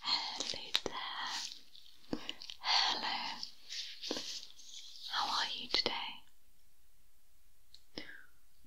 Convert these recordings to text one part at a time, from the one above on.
Hello there. Hello. How are you today?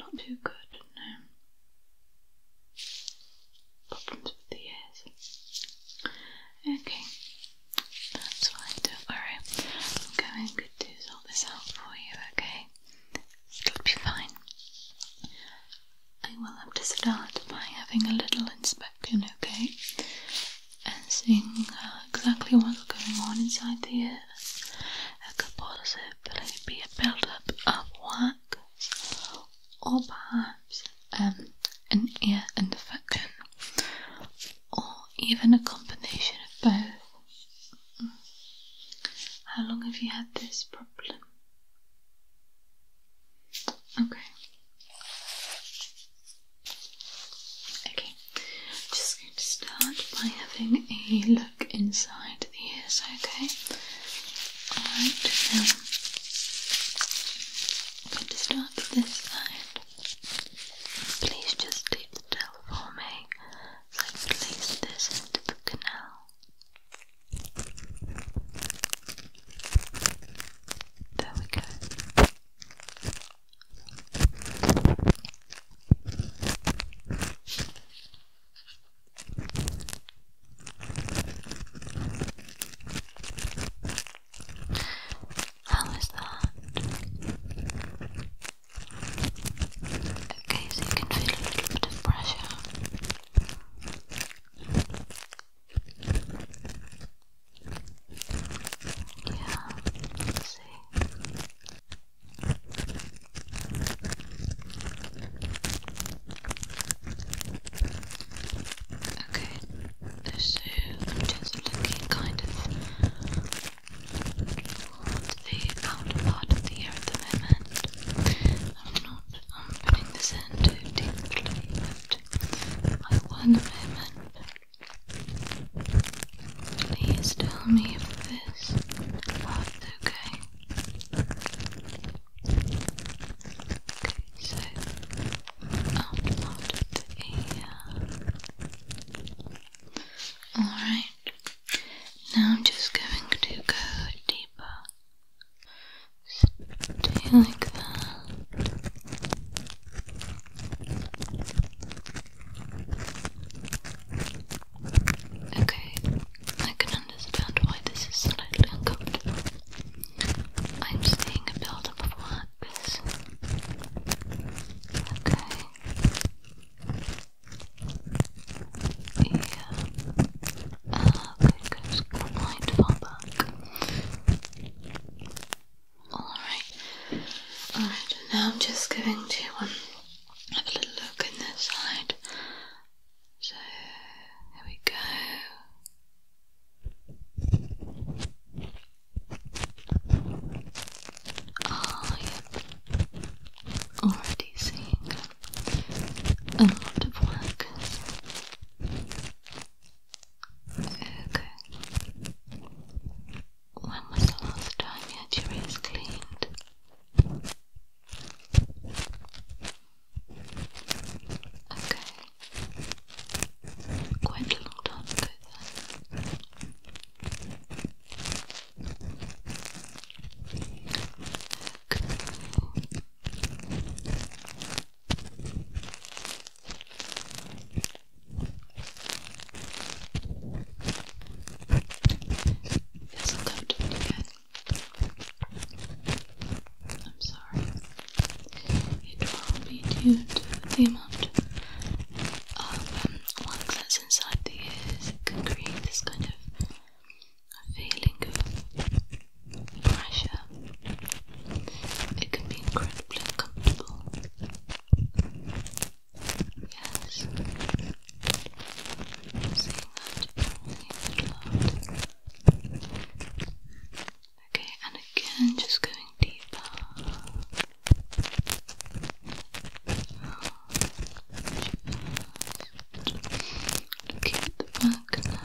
Not too good, no. Problems with the ears. Okay, that's fine, don't worry. I'm going to sort this out for you, okay? It'll be fine. I will have to start by having a little inspection, okay? And seeing uh, exactly what's going on inside the ear. There could possibly be a buildup of wax, or perhaps um, an ear infection, or even a combination of both. Hmm. How long have you had this problem? Okay. Okay. Just going to start by having a look inside the ears, okay? Alright, um, I'm going to start this side. Please just keep still for me. So I place this into the canal. There we go. How is that? Okay, so you can feel a little bit of pressure yeah, see. Okay, so just looking kind of at the outer part of the ear at the moment. I'm not I'm putting this in to tingly by one moment. Please tell me if this part's okay. Okay, so up out of the Alright, now I'm just going to go deeper Stay like that. Okay, I can understand why this is slightly uncomfortable. I'm seeing a build of wax. Okay. Yeah. Um, Alright. Alright, now I'm just going to um, have a little look in this side. So, there we go. Ah, oh, yep. Already seeing a lot of work. Okay. When was the last time your ears cleaned? Okay. Quite a long time ago then. Okay. Feels uncomfortably good. I'm sorry. It will be due to the amount of wax um, that's inside the ears. Uh, it can create this kind of a feeling of pressure. It can be incredibly uncomfortable. Yes. I'm seeing that Okay, and again, just going deeper. Keep the back now.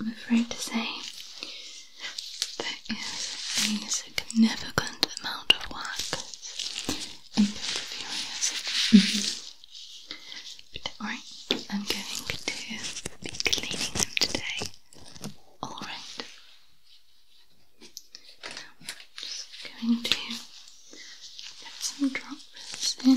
I'm afraid to say there is a significant amount of wax in both of your ears. Mm -hmm. I'm going to be cleaning them today. Alright. just going to get some drops in.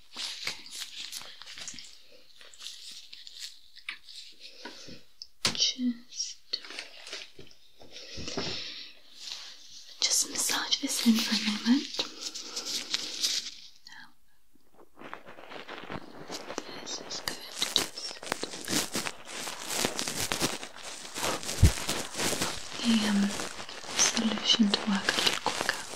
Just, just massage this in for a moment. Now, this good. Just the um, solution to work a little quicker.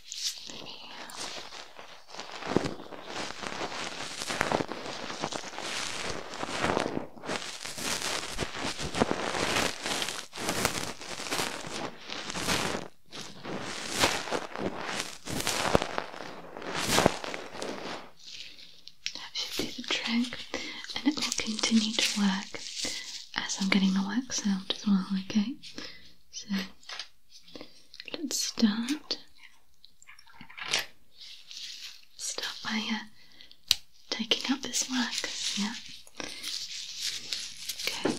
That should do the trick, and it will continue to work as I'm getting the wax out as well, okay? So Let's start. Start by uh, taking out this wax. Yeah. Okay.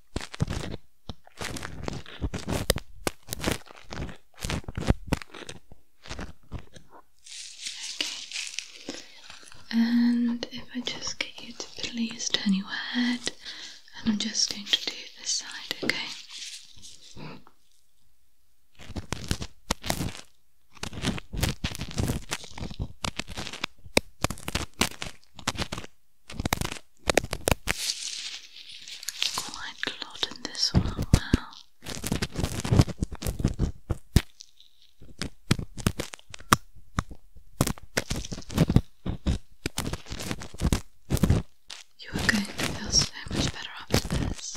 Okay. And if I just get you to please turn your head, and I'm just going to do this side, okay? Quite a lot in this one, You are going to feel so much better after this.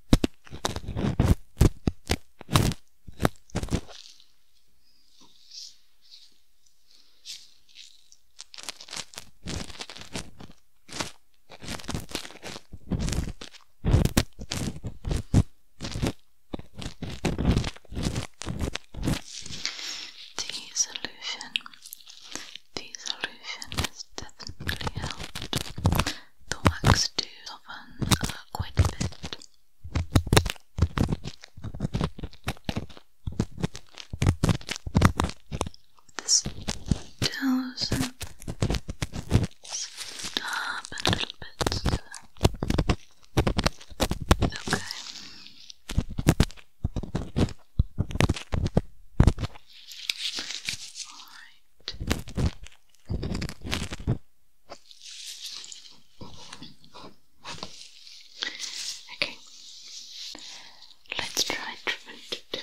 The solution, the solution has definitely helped the wax do soften uh, quite a bit. This tells them up a little bit. Okay. Alright. Okay, let's try treatment two.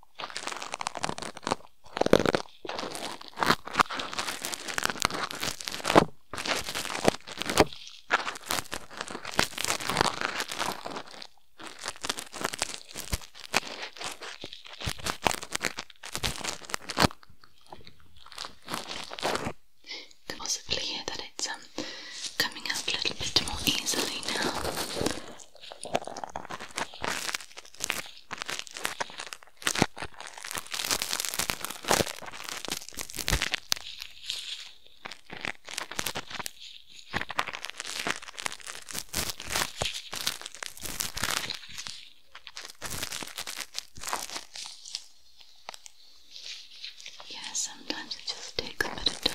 You can possibly hear that it's um coming out a little bit more easily now. Yeah, sometimes it just takes a bit of time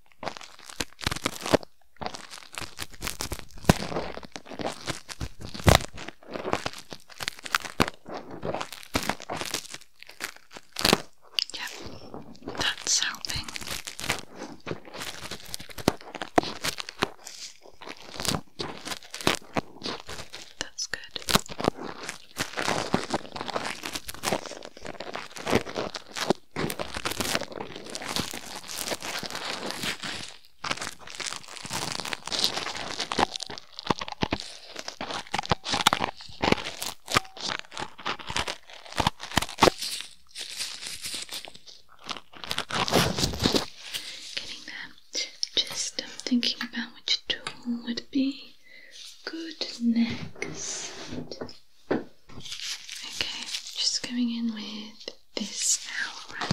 Yep, that's helping. That's good. Getting there. Just I'm thinking about which tool would be good next. Okay, just going in with this now, right?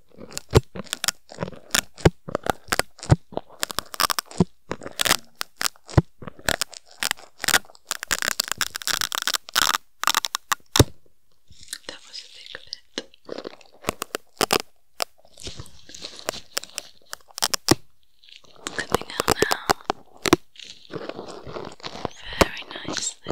That was a big bit. Coming out now. Very nicely.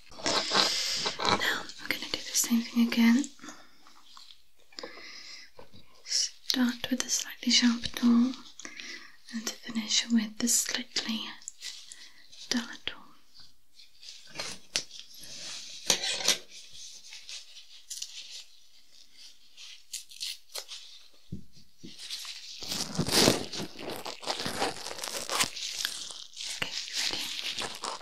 Now I'm going to do the same thing again. Start with a slightly sharp tool and finish with the slightly duller tool. Okay, you ready?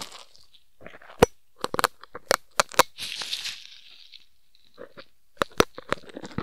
Okay,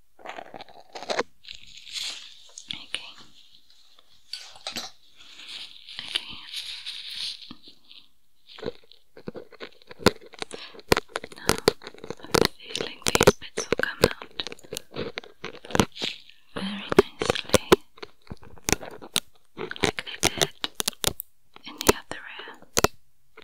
Okay. Okay. Now, I'm feeling these bits will come out very nicely, like they did in the other ear.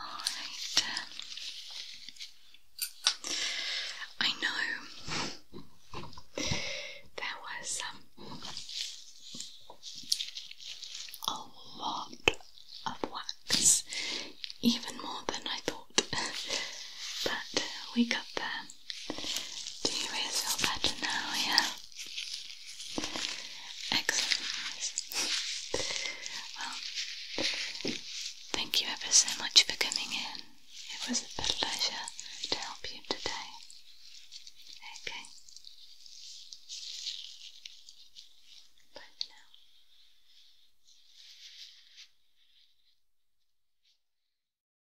Alright. I know there was um, a lot of wax, even more than I thought, but we got there. Do you feel better now, yeah? Excellent. well, thank you ever so much for coming in. It was a pleasure to help you today. Okay. Bye for now.